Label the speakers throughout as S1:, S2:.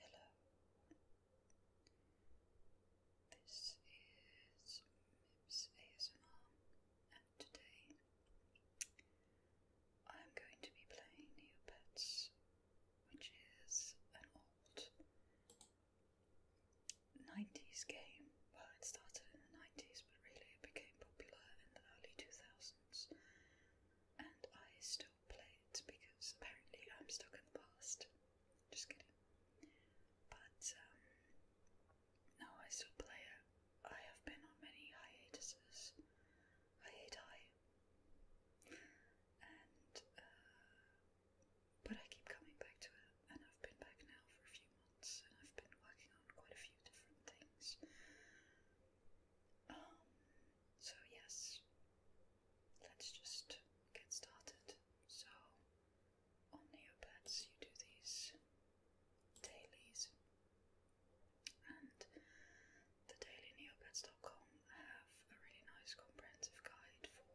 S1: Hello. This is Mips ASMR, and today I'm going to be playing Neopets, which is an old 90s game. Well, it started in the 90s, but really it became popular in the early 2000s, and I still top plate because apparently I'm stuck in the past. Just kidding. But um, no, I still play it. I have been on many hiatuses. hiatus, And uh, but I keep coming back to it, and I've been back now for a few months, and I've been working on quite a few different things. Um, so yes, let's just get started. So, on Neopets, you do these dailies, and the dailyneopets.com have a really nice comprehensive guide for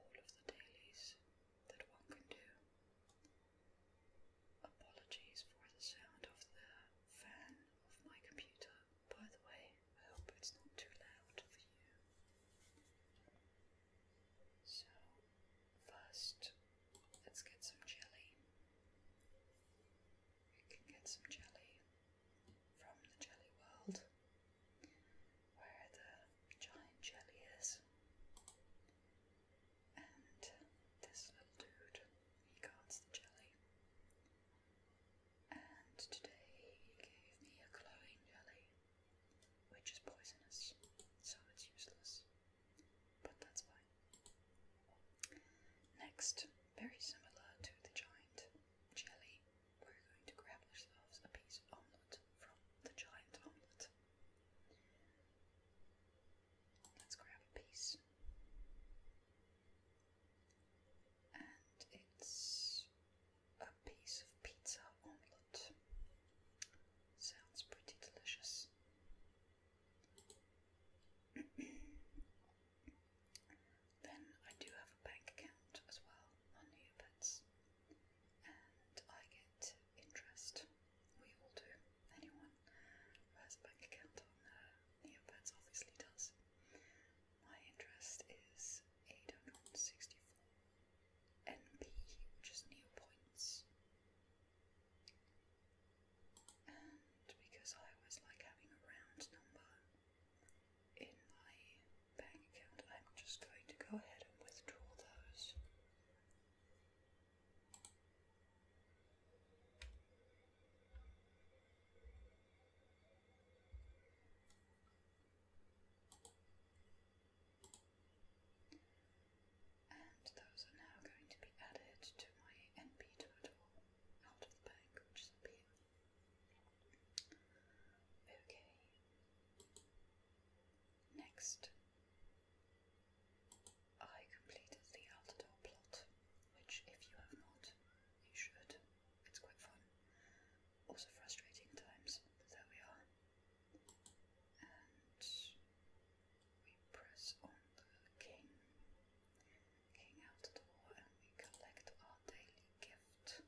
S1: all of the dailies that one can do. Apologies for the sound of the fan of my computer. By the way, I hope it's not too loud for you. So, first, let's get some jelly. We can get some jelly from the jelly world, where the giant jelly is. And this little dude, he guards the jelly and today he gave me a glowing jelly, which is poisonous, so it's useless, but that's fine. Next, very similar to the giant jelly, we're going to grab ourselves a piece of omelette from the giant omelette. Let's grab a piece and it's a piece of pizza omelette. Sounds pretty delicious. then I do have a bank account as well on Neopets, and I get interest. We all do. Anyone has a bank account on uh, obviously does my interest is 864 NP, which is new points. And because I always like having a round number in my bank account, I'm just going to go ahead and withdraw those. And those are now going to be added to my NP total out of the bank, which is up Okay. Next, I completed the Altador plot, which, if you have not, you should. It's quite fun. Also frustrating times, but there we are. And we press on king. King out the door and we collect our daily gift.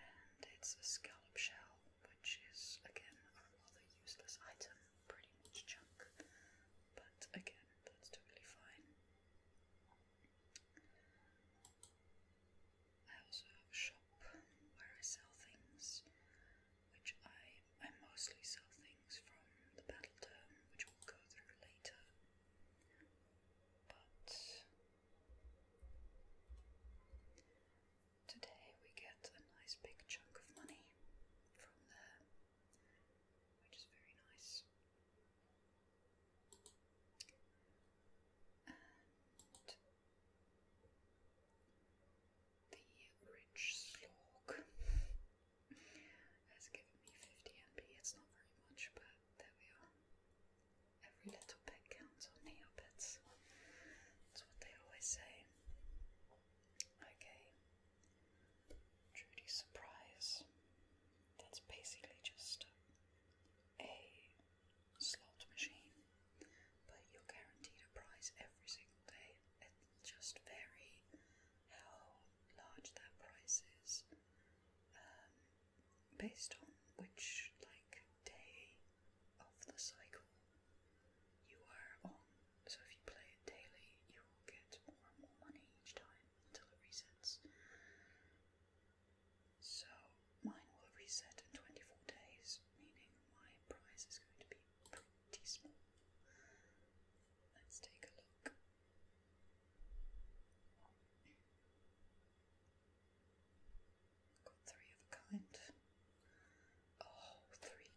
S1: And it's a scallop shell, which is again a rather useless item, pretty much junk. But again, that's totally fine. I also have a shop where I sell things, which I, I mostly sell things from the battle term, which we'll go through later. But today we get a nice big chunk of money from there, which is very nice the rich slog has given me 50 MP. It's not very much, but there we are. Every little bit counts on Neopets. That's what they always say. Okay. Trudy Surprise that's basically just a slot machine, but you're guaranteed a prize every single day. It'll just vary how large that prize is um, based on which, like, day of the cycle you are on. So if you play it daily, you will get more and more money each time until it resets. So mine will reset in 24 days, meaning my price is going to be pretty small. Let's take a look. Got three of a kind. Oh,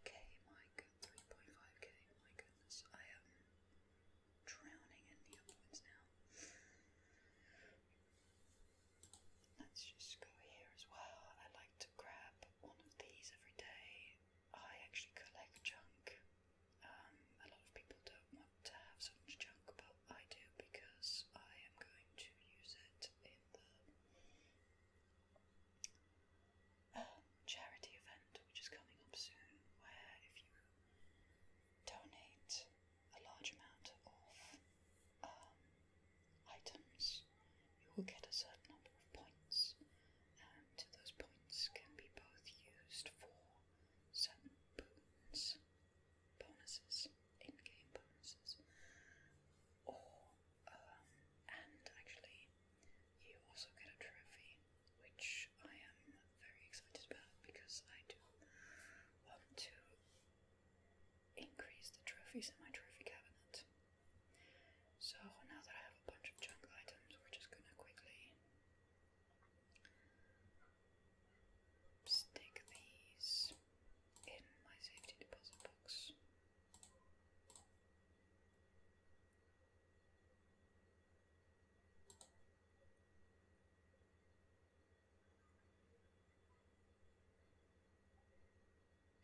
S1: k my good, 3.5k, my goodness. I am. Um, drowning in neophytes now. Let's just go here as well. I like to grab one of these every day. I actually collect junk. Um, a lot of people don't want to have so much junk, but I do because I am going to use it in the um, charity event, which is coming up soon. Where if you donate a large amount of um, items, you will get a certain number of points, and those points can be both used for certain boons, bonuses, in-game bonuses, or um, and actually you also get a trophy, which I am very excited about because I do want to increase the trophies in my trophy cabinet. So now that I have a bunch of junk items, we're just gonna quickly stick these in my safety deposit box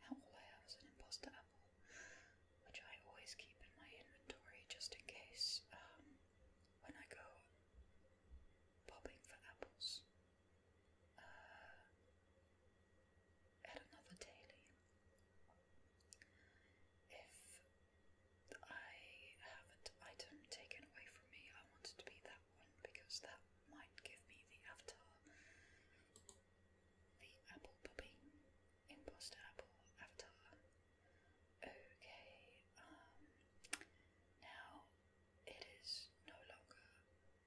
S1: all I have is an imposter apple, which I always keep in my inventory just in case um, when I go popping for apples. Uh, another daily. If I have an item taken away from me. I wanted to be that one because that might give me the avatar. The apple puppy. Imposter apple avatar. Okay, um, now it is no longer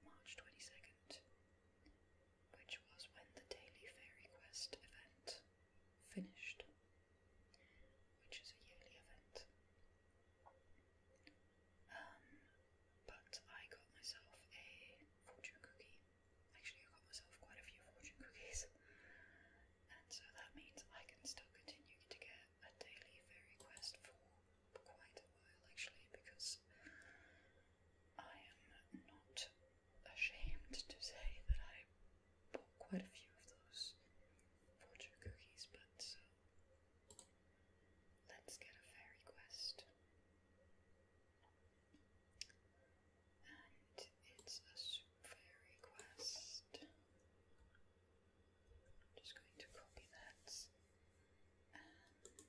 S1: March 22nd, which was when the Daily Fairy Quest event Finished, which is a yearly event. Um, but I got myself a fortune cookie. Actually, I got myself quite a few fortune cookies, and so that means I can still continue to get a daily fairy quest for quite a while, actually, because I am not ashamed to say that I bought quite a few of those fortune cookies, but so let's get a fairy quest. And it's a fairy quest. just going to copy that and then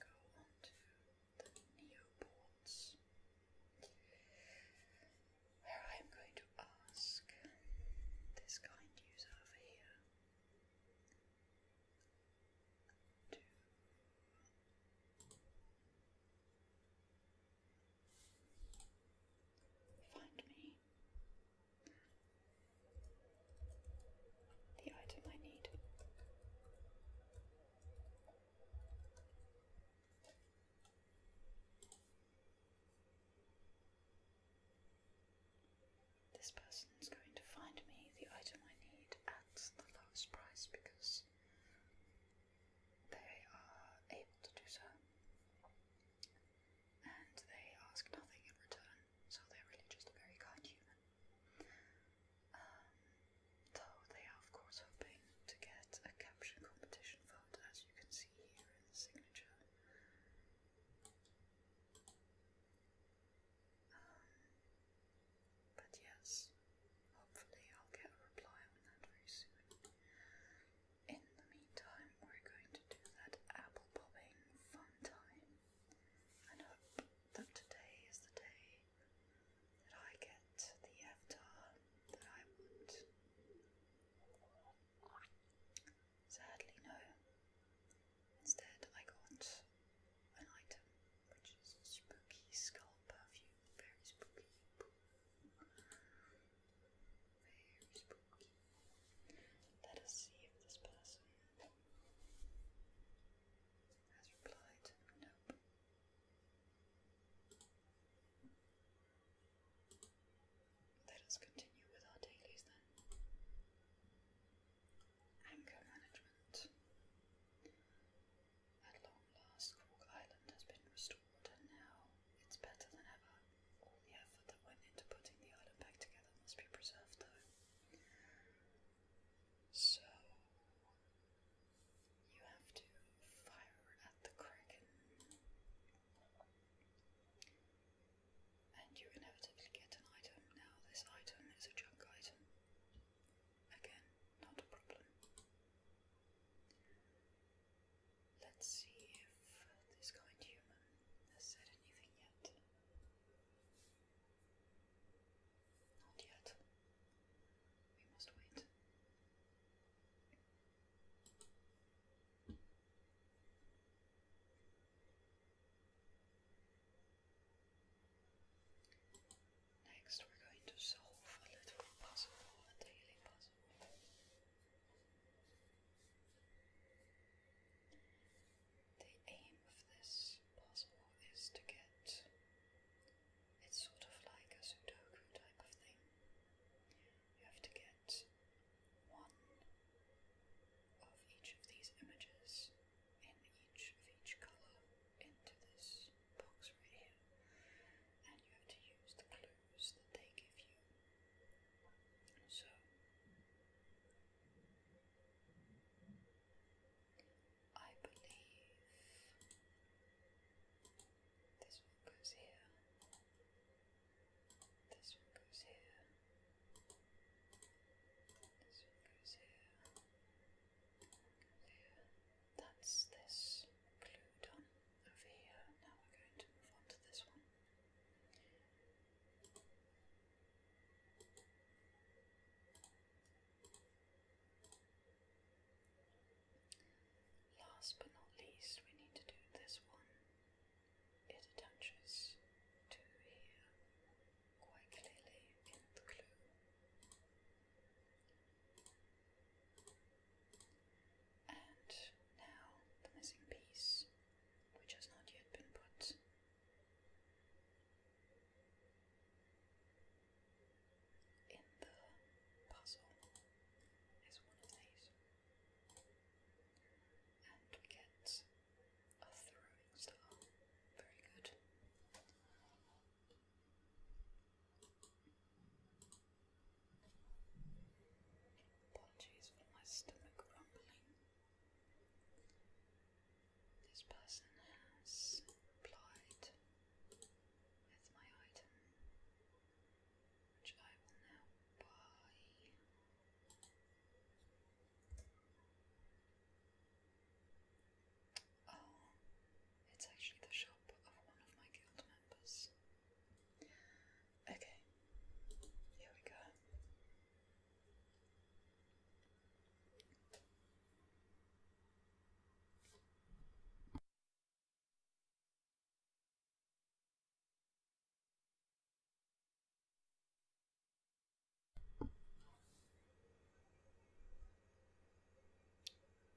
S1: go on to the Neoports where I am going to ask this kind user over here to find me the item I need. This person is going to find me the item I need at the lowest price because they are able to do so. And they ask nothing in return, so they're really just a very kind human. Um, though they are, of course, hoping to get a caption competition vote, as you can see here signature. Um, but yes, hopefully I'll get a reply on that very soon. In the meantime, we're going to do that apple popping fun time and hope that today is the day that I get the avatar that I want. Sadly, no. Instead, I got an item, which is spooky skull perfume. Very spooky. Very spooky. Let us see if this person has replied. Nope. Let us continue with our dailies then. Anchor management. At long last, Cork Island has been restored, and now it's better than ever. All the effort that went into putting the island back together must be preserved, though. So, you have to fire at the kraken. And you inevitably get an item. Now, this item is a junk item. Again, not a problem. Let's see if this kind human has said anything yet. Not yet. We must wait. Next, we're going to solve a little puzzle, a daily puzzle. The aim of this puzzle is to get it's sort of like a Sudoku type of thing. You have to get one of each of these images in each of each colour into this box right here, and you have to use the clues that they give you. So I believe this one goes here. This one goes here. This one goes here. That's this glue done over here. Now we're going to move on to this one. Last but not least, we need to do this one. It attaches to here quite clearly in the clue. And now the missing piece, which has not yet been put. In the puzzle is one of these and get a throwing star. Very good. Apologies for my stomach rumbling. This person has complied with my item which I will now buy. Oh, it's actually the shop of one of my guild members. Okay, here we go.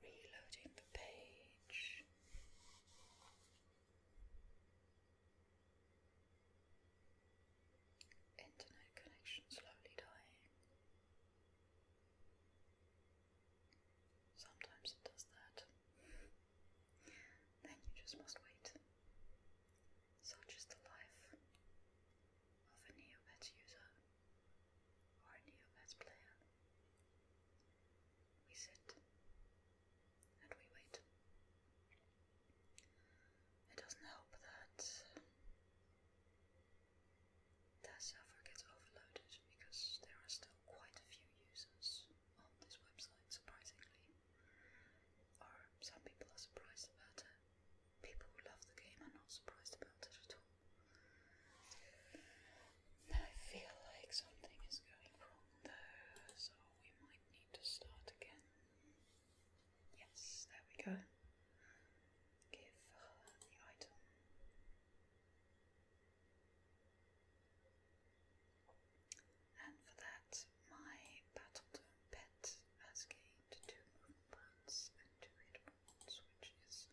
S1: Reloading the page. Internet connection slowly dying. Sometimes it does that. Then you just must wait. Such is the life of a Neobet user or a Neobet player. We sit and we wait. It doesn't help that their server gets overloaded because there are still quite a few users on this website, surprisingly. Or some people are surprised about it. People who love the game are not surprised about it at all. I feel like something is going wrong though, so we might need to start again. Yes, there we go. Give her the item. And for that, my Battletoon pet has gained two movement points and two hit points, which is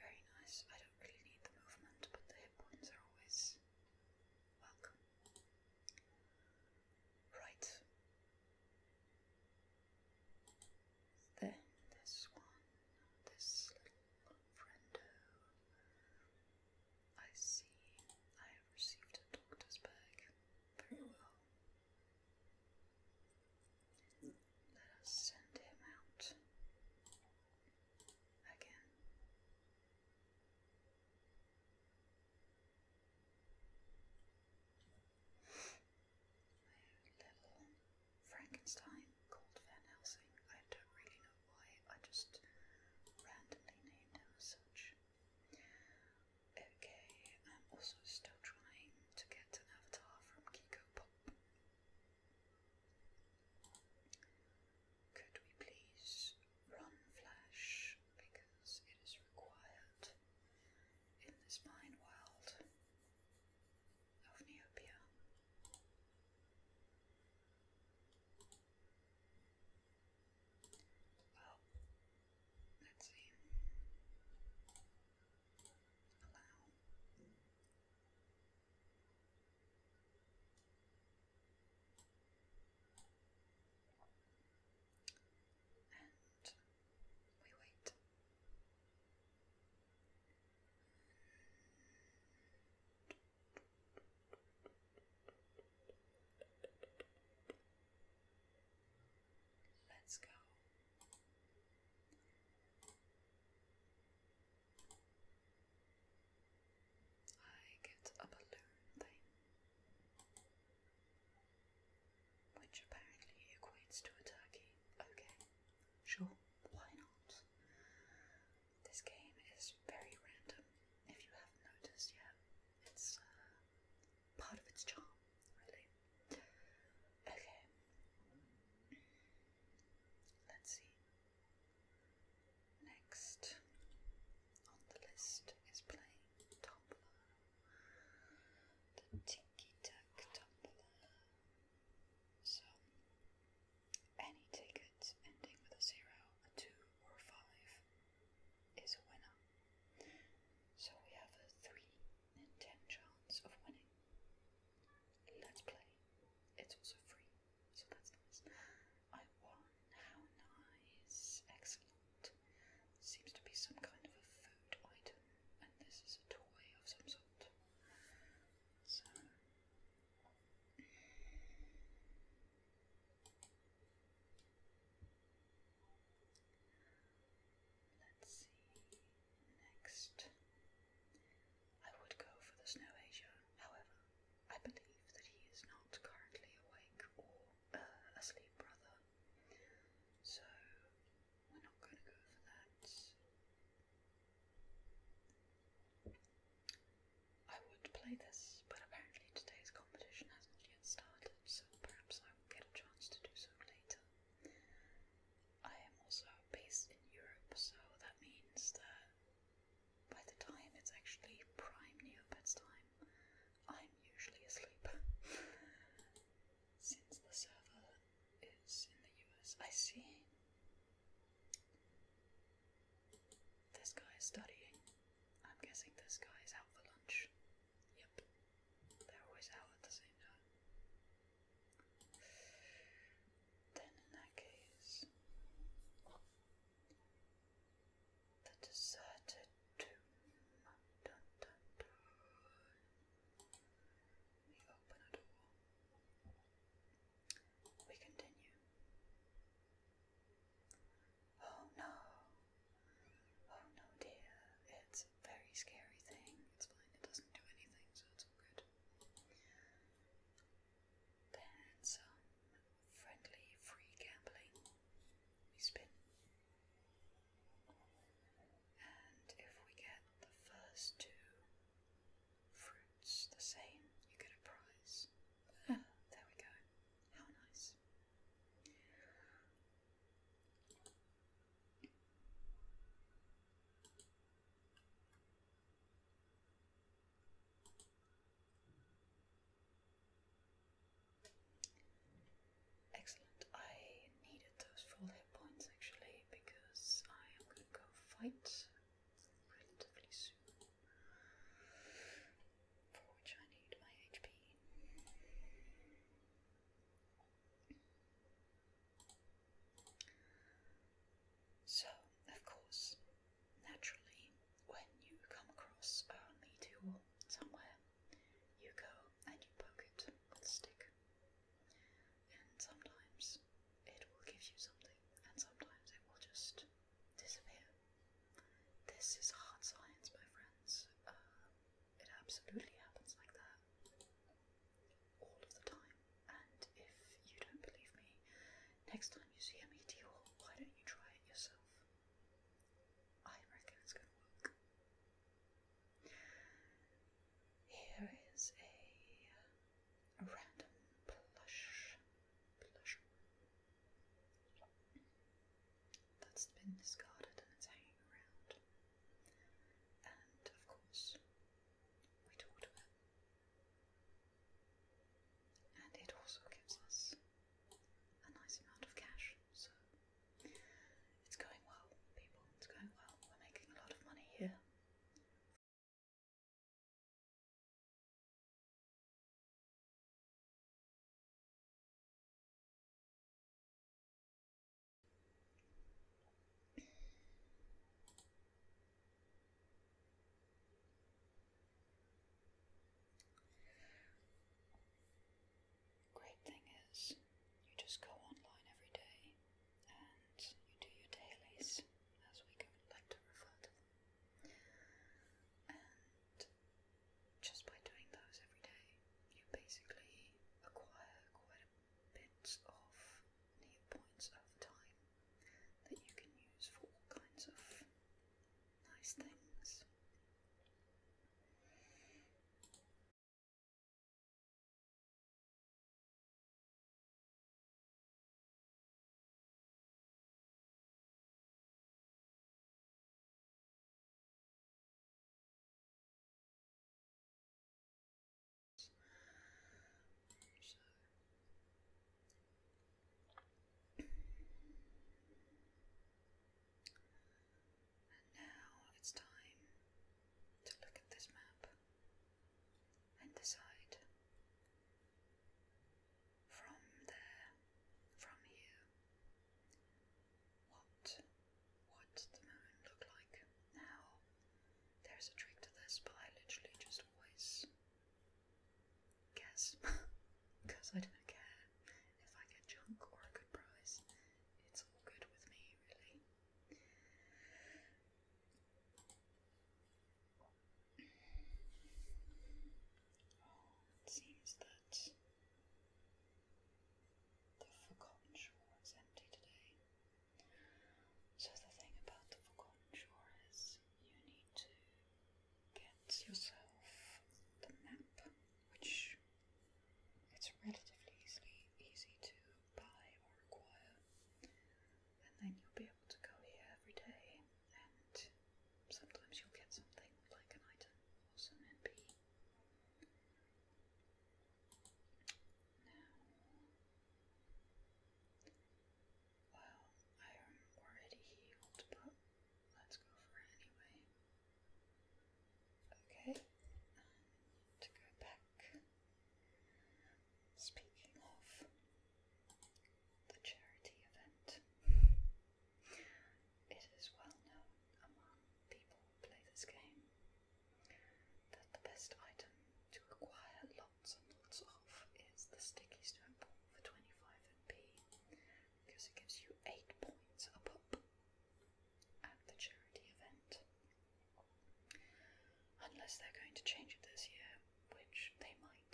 S1: very nice. I don't really need the movement, but the hit points are always welcome. Right. Then this one, this little friendo. I see. I have received a doctor's bag. Very well. Let us send him out again. My level Frankenstein called Van Helsing. I don't really know I just randomly named him such. Okay, I'm also still trying to get an avatar from Kiko Pop. Could we please run Flash because it is required in this mine world of Neopia? Well, let's see. And we wait. Let's go. I get a balloon thing, which apparently equates to a turkey. Okay, sure, why not? This game is very random, if you haven't noticed yet. It's uh, part of its charm, really. Okay. Let's see. Next on the list is playing Tumbler. The Tinky Tack Tumbler. So, any ticket ending with a zero, a two, or a five is a winner. So we have a three in ten chance of winning. Let's play. It's also free, so that's nice. I won. How nice. Excellent. Seems to be some kind of a food item, and this is a toy of some sort. So Let's see. Next. I would go for the Snow Asia, however, I believe that he is not currently awake or uh, asleep, brother. So we're not going to go for that. I would play this, but apparently today's competition has not yet started, so perhaps I will get a chance to do so later. I am also based in Europe, so that means that by the time it's actually prime New Neopets time, I'm usually asleep. Since the server is in the US, I see. This guy is studying. I'm guessing this guy is out for lunch. Yep. They're always out at the same time. Then, in that case, the deserted tomb. We open a door. We continue. Oh no. Oh no, dear. It's a very scary thing. It's fine, it doesn't do anything, so it's all good. Then some friendly free gambling. We spin. And if we get the first two fruits the same, you get a prize. Ah, there we go. How nice. Excellent. I needed those full hit points actually because I am going to go fight relatively soon for which I need my HP. So, of course, naturally, when you come across a meteor somewhere, you go and you poke it with a stick. And sometimes it will give you something, and sometimes it will just disappear. This is hard science, my friends. Uh, it absolutely happens like that all of the time. And if you don't believe me, next time you see a meteor, why don't you try it yourself? I reckon it's going to work. Here is a, a random plush, plush that's been discarded and it's hanging around. And of course, we talk about. And it also gives us a nice amount of cash, so it's going well, people. It's going well. We're making a lot of money here. Great thing is, you just go online every day and you do your dailies, as we like to refer to them. And just by doing those every day, you basically acquire quite a bit of neat points over time that you can use for all kinds of nice things. And now it's time to look at this map and decide from there, from here. What would the moon look like now? There's a trick to this, but I literally just always guess because I don't care if I get junk or a good prize. It's all good with me, really. It seems that the Forgotten Shore is empty today. So, the thing about the Forgotten Shore is you need to get yourself the map, which it's relatively easily easy to buy or acquire, and then you'll be able to go here every day and sometimes you'll get something like an item some NP. Now, well, I am already healed, but let's go for it anyway. Okay, um, to go back. Speaking of, the charity event. It is well known among people who play this game that the best item to acquire lots and lots of is the sticky snowball for 25mp because it gives you 8 points a pop at the charity event. Unless they're going to change it this year, which they might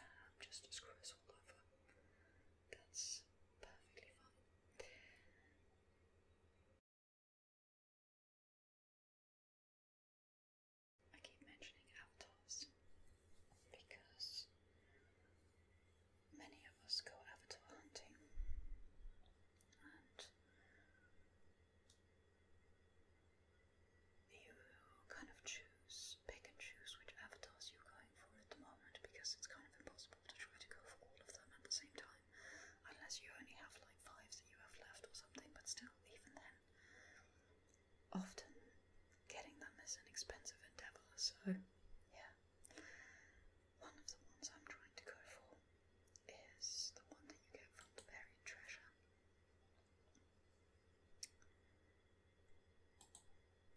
S1: um, just screw us that's perfectly fine. I keep mentioning avatars because many of us go avatar hunting and you kind of choose just pick and choose which avatars you're going for at the moment because it's kind of impossible to try to go for all of them at the same time unless you only have like five that you have left or something, but still, even then, often getting them is an expensive endeavour, so yeah. One of the ones I'm trying to go for is the one that you get from the buried treasure.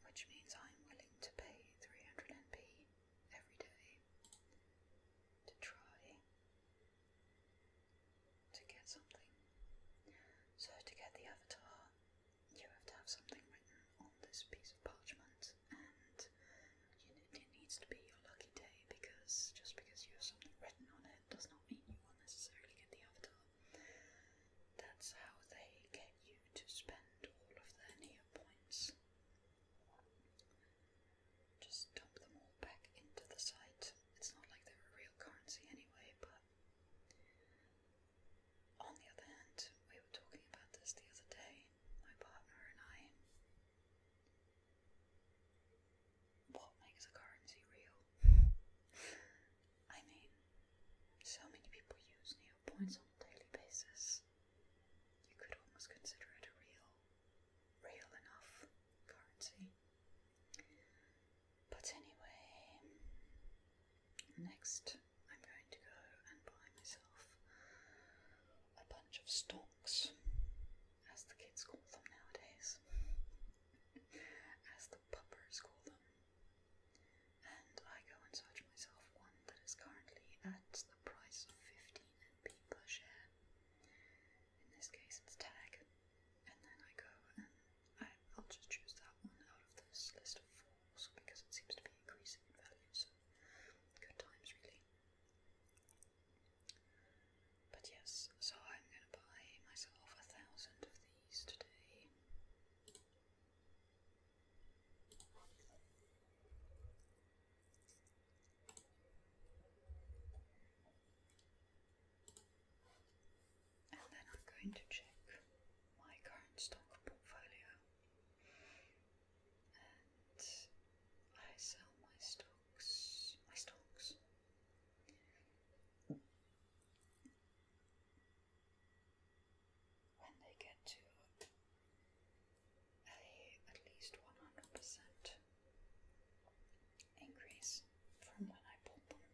S1: Which means I'm willing to pay 300 NP every day to try to get something. So, to get the avatar, you have to have something written on this piece of parchment, and it needs to be your lucky day because just because you have something written on it does not mean you will necessarily get the avatar. That's how they get you to spend all of their near points. Just dump them all back into the site. It's not like they're a real currency anyway, but. On the other hand, we were talking about this the other day, my partner and I. What makes a currency real? I mean, so many people use NEO points on a daily basis. You could almost consider it a real, real enough currency. But anyway, next I'm going to go and buy myself a bunch of stocks, as the kids call them nowadays, the call them. And I go and search myself one that is currently at the price of 15 NP per share. In this case, it's tag. And then I go and I, I'll just choose that one out of this list of four because it seems to be increasing in value, so good times really. But yes, so I'm gonna buy myself a thousand of these today. And then I'm going to check my current stock portfolio. And I sell my stocks, my stocks when they get to a at least 100% increase from when I bought them.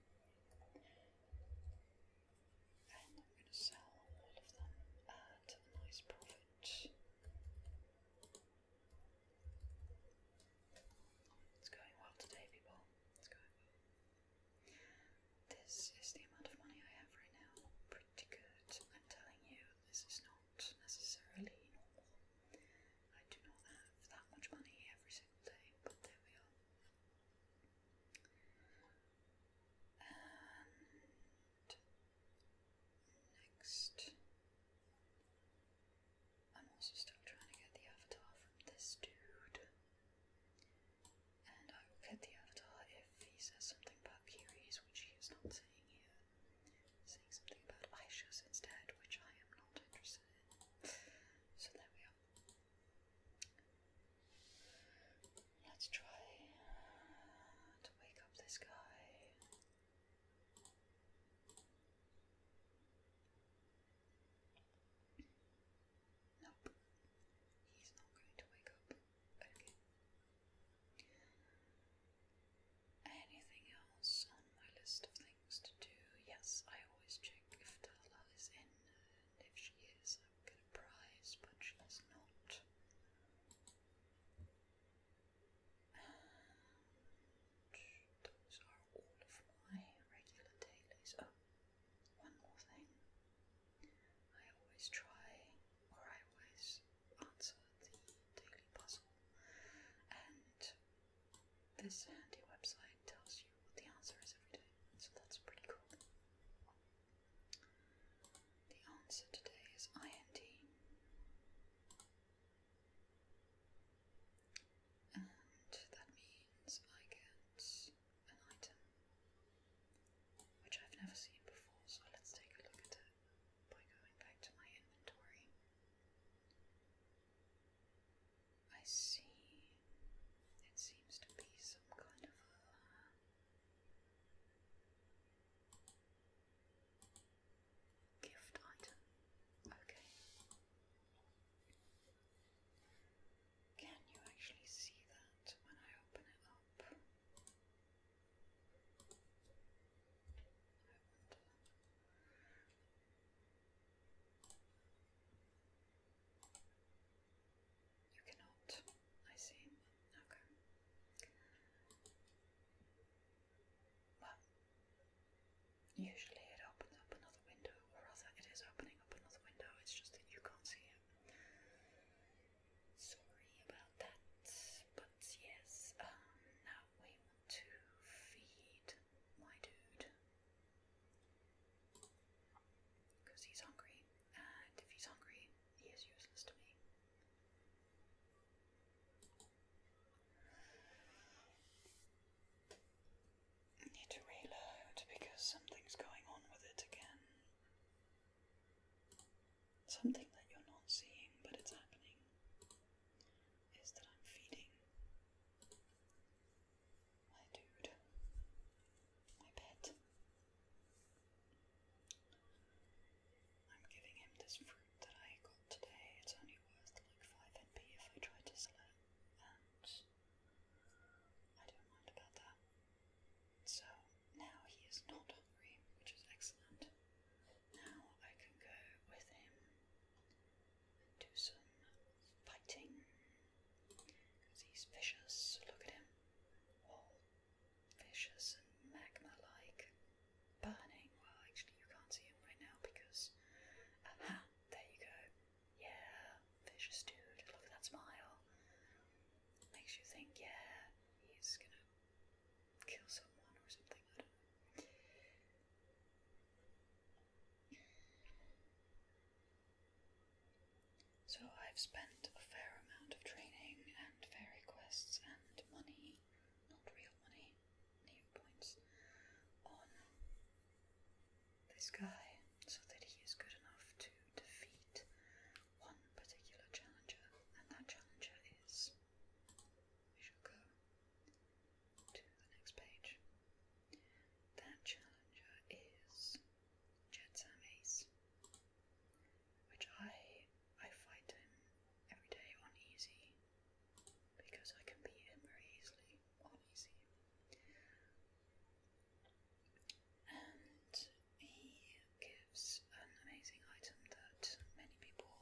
S1: And I'm going to sell all of them at a nice profit. It's going well today, people. It's going this is the amount of money I have right now. Pretty good. I'm telling you, this is not necessarily normal. I do not have that much money every single day, but there we are. And next, I'm also still trying to get the avatar from this dude and I will cut the avatar if he says something about Kiris, which he is not saying here. Saying something about Aisha's instead, which I am not interested in. So there we are. Let's try to wake up this guy. Nope. He's not going to wake up. Okay. Anything else on my list of things to do? Yes, I always check if Darla is in, and if she is, I will get a prize, but she is not. those are all of my regular dailies. Oh, one more thing. I always try, or I always answer the daily puzzle, and this handy website tells you what the answer is every day, so that's pretty cool. The answer today is IND. And that means I get an item which I've never seen before, so let's take a look at it by going back to my inventory. I see it seems to be some kind of a. Gift item. Okay. Can you actually see that when I open it up? You cannot. I see. Okay. Well, usually it opens up another window, or rather, it is opening up another window, it's just that you can't see it. Sorry about that, but yes, um, now we want to feed my dude because he's hungry, and if he's hungry, he is useless to me. I need to reload because something's going on with it again. Something that you're not seeing, but it's happening, is that I'm feeding my dude, my pet. I'm giving him this fruit that I got today. It's only worth like 5 NP if I try to sell it, course. I don't mind about that. So now he is not hungry, which is excellent. Now I can go with him and do some fighting. he's vicious, look at him. All vicious and magma like. Burning. Well, actually, you can't see him right now because. Aha! There you go. Yeah, vicious dude. Look at that smile. Makes you think, yeah, he's gonna kill someone or something. So I've spent a fair amount of training and fairy quests and money, not real money, new points, on this guy so that he is good enough to defeat one particular challenger, and that challenger is. We shall go to the next page. That challenger is Jetsam Ace, which I I fight him every day on easy because I can beat him very easily on easy and he gives an amazing item that many people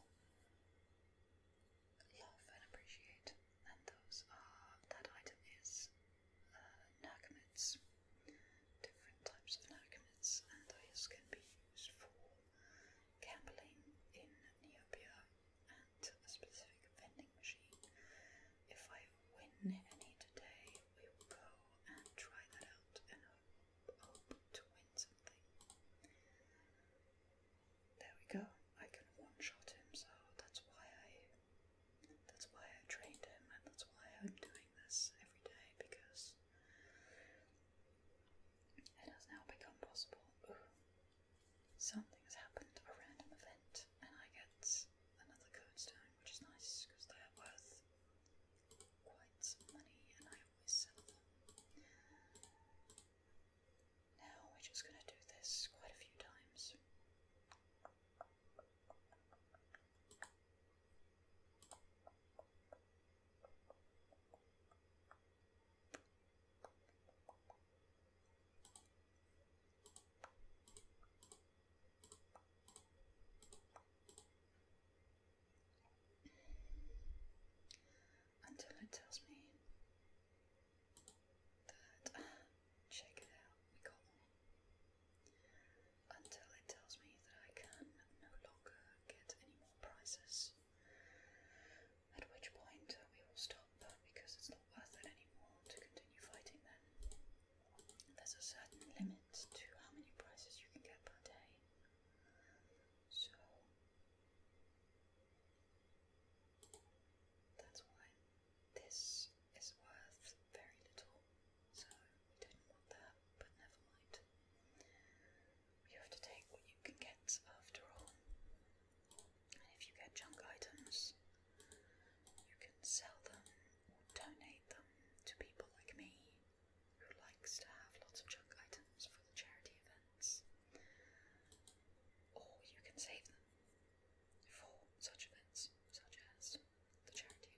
S1: love and appreciate, and those are that item is uh, different types of narcomids, and those can be used for gambling in Neopia and a specific vending machine. If I win any today, we go and try that out and hope, to win something. There we go. I can one-shot him, so that's why I that's why I trained him and that's why I'm doing this every day because it has now become possible. Something has happened, a random event, and I get another codestone, which is nice because they are worth quite some money and I always sell them. Now we're just going to do this quite a few times until it tells me that check it out, we got one. Until it tells me that I can no longer get any more prizes. At which point we will stop because it's not worth it anymore to continue fighting them. There's a certain limit to how many prizes you can get per day. So that's why this is worth very little. So we didn't want that, but never mind. You have to take what you can get after all. And if you get junk items, you can sell them donate them to people like me who likes to have lots of junk items for the charity events. Or you can save them for such events, such as the charity event.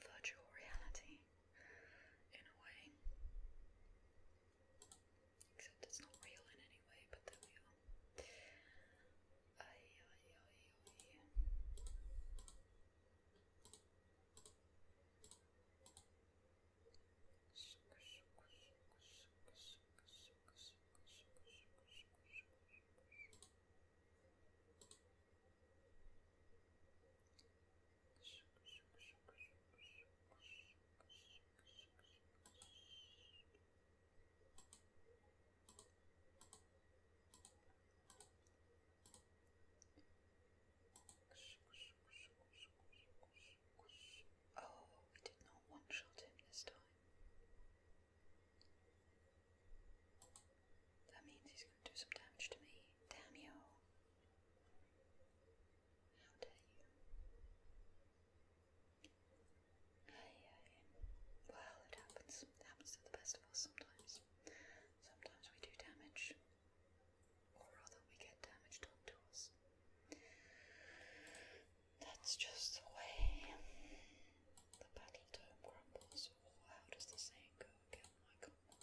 S1: virtual reality in a way. Except it's not real in any way, but there we are. Oh, we did not one shot him this time. That means he's going to do some damage to me. Damn How dare you? Well, it happens. It happens to the best of us sometimes. Sometimes we do damage. Or rather, we get damage done to us. That's just the way the battle dome crumbles. how does the saying go again? I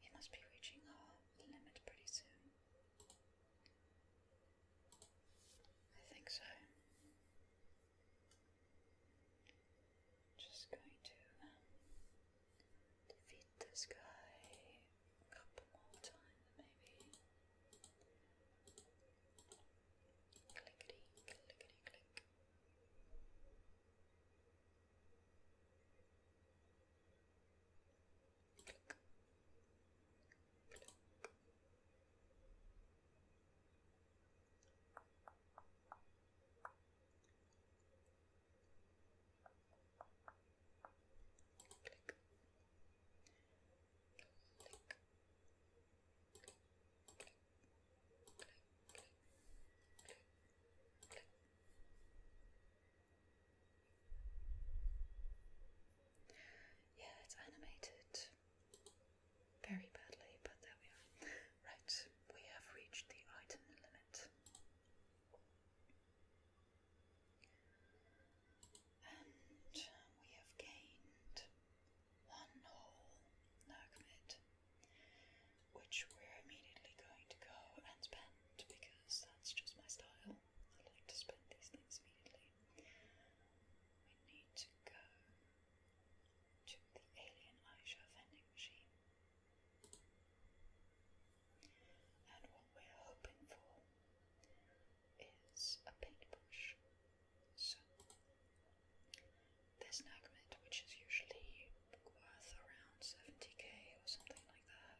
S1: We must be reaching our limit pretty soon. I think so. Just going to defeat this guy a couple more times, maybe. Clickety, clickety, click. Click. Click. Click. Click. Yeah, it's animated very badly, but there we are. Right, we have reached the item limit. And we have gained one whole Nergmid, which we're immediately going to go and spend because that's just my style. I like to spend these things immediately. We need to go to the Alien Aisha vending machine. And what we're hoping for is a paintbrush. this Nagmet, which is usually worth around 70k or something like that,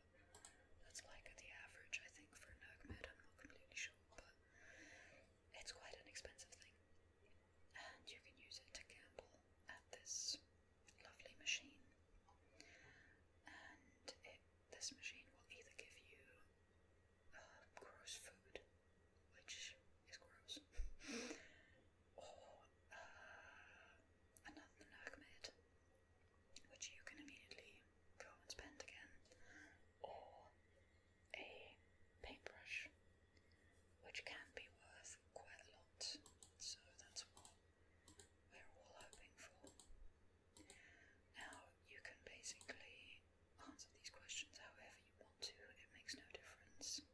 S1: that's like the average, I think, for a Nagmet, I'm not completely sure, but it's quite an expensive thing. And you can use it to gamble at this lovely machine. And this machine will either give you uh, gross food, which is gross. or oh, uh, another Nergmid, which you can immediately go and spend again. Or a paintbrush, which can be worth quite a lot. So that's what we're all hoping for. Now you can basically Answer these questions however you want to, it makes no difference.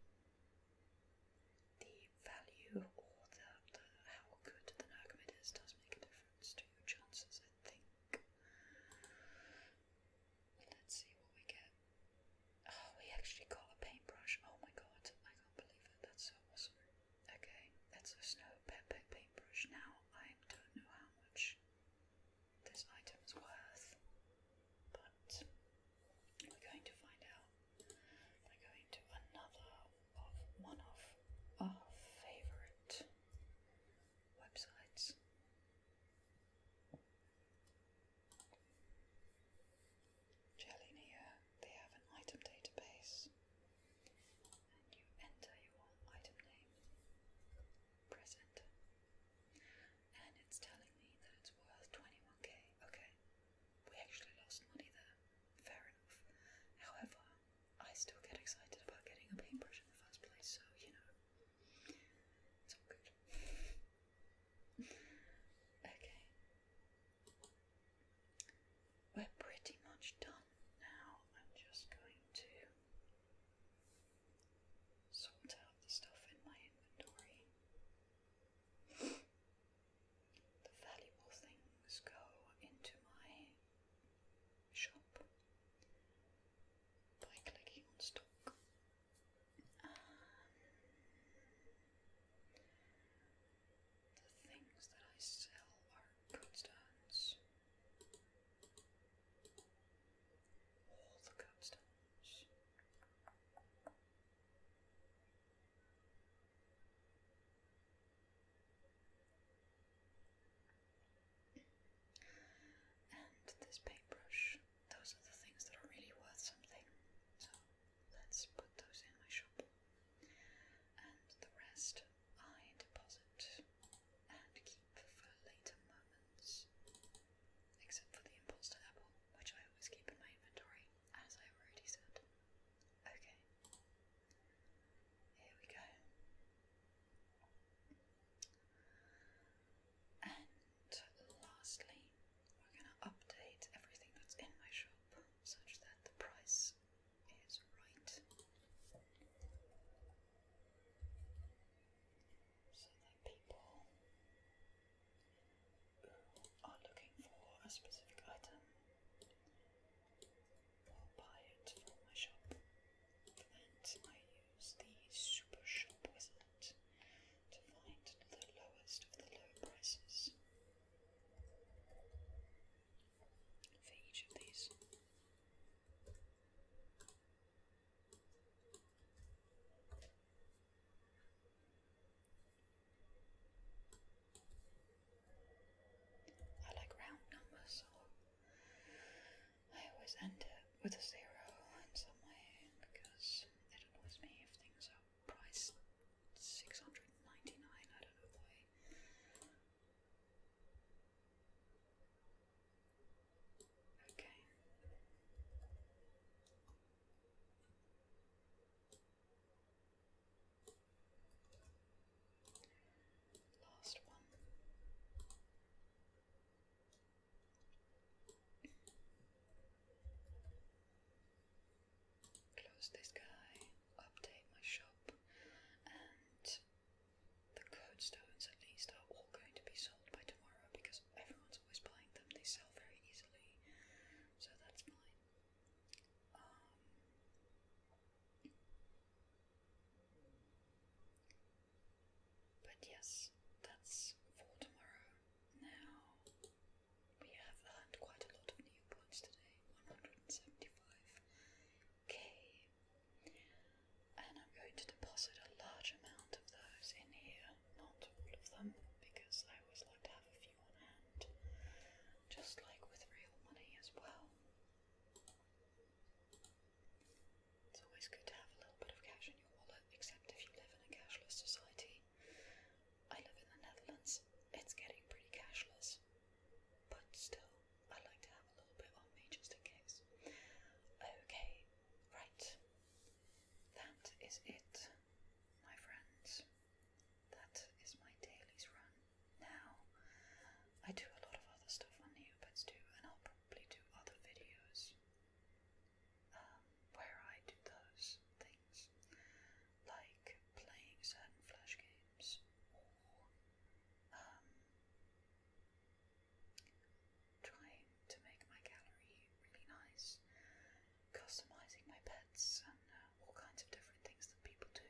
S1: The value or the, the how good the Narcomed is does make a difference to your chances, I think. Let's see what we get. Oh, we actually got a paintbrush. Oh my god, I can't believe it. That's so awesome. Okay, that's a snow pet paintbrush. Now I don't know how much this item's worth, but we're going to find out by going to another of one of our favourite websites. Jelinia, they have an item database, and you enter your item name present. And it's telling me that it's worth 21k. Okay, we actually lost money there. Fair enough. However, I still get excited about getting a paintbrush in the first place, so you know, it's all good. okay. We're pretty much done now. I'm just going to sort out the stuff in my inventory. the valuable things go into my shop by clicking on stock. Um, the things that I sell are good all the gobstones. And this paintbrush, those are the things that are really worth something. So let's put those in my shop. And the rest I deposit and keep for later moments. Except for the imposter apple, which I always keep in my inventory, as I already said. Okay. Here we go. And lastly, we're going to update everything that's in my shop such that the price is right so that people who are looking for a specific item will buy it from my shop. And I use the Super Shop Wizard to find the lowest of the low prices for each of these. I like round numbers, so I always end it with a zero in some way because it annoys me if things are priced 699, I don't know why. Okay. Last one. Close this guy, update my shop, and the stones at least, are all going to be sold by tomorrow because everyone's always buying them. They sell very easily, so that's fine. Um, but yes, that's for tomorrow. Now, we have earned quite a lot of new points today 175k and I'm going to deposit a large amount of those in here, not all of them, because I always like to have a few on hand, just like with real money as well. It's always good to have a little bit of cash in your wallet, except if you live in a cashless society. I live in the Netherlands, it's getting pretty cashless, but still, I like to have a little bit on me just in case. Okay, Right. That is it, my friends. That is my dailies run. Now, I do a lot of other stuff on YouTube too, and I'll probably do other videos um, where I do those things, like playing certain Flash games or um, trying to make my gallery really nice, customizing my pets and uh, all kinds of different things that people do.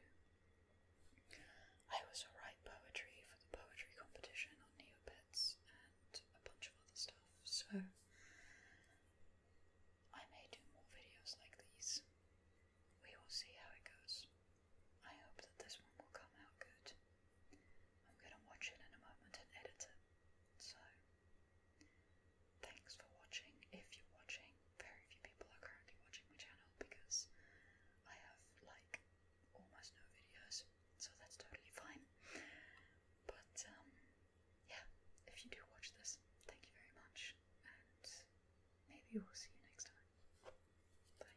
S1: I also write poetry for the poetry competition on Neopets and a bunch of other stuff, so I may do more videos like these. We will see how it goes. I hope that this one will come out good. I'm going to watch it in a moment and edit it. So, thanks for watching. If you're watching, very few people are currently watching my channel because I have like almost no videos, so that's totally fine. But, um, yeah, if you do watch this, thank you very much, and maybe we'll see you next time. Bye.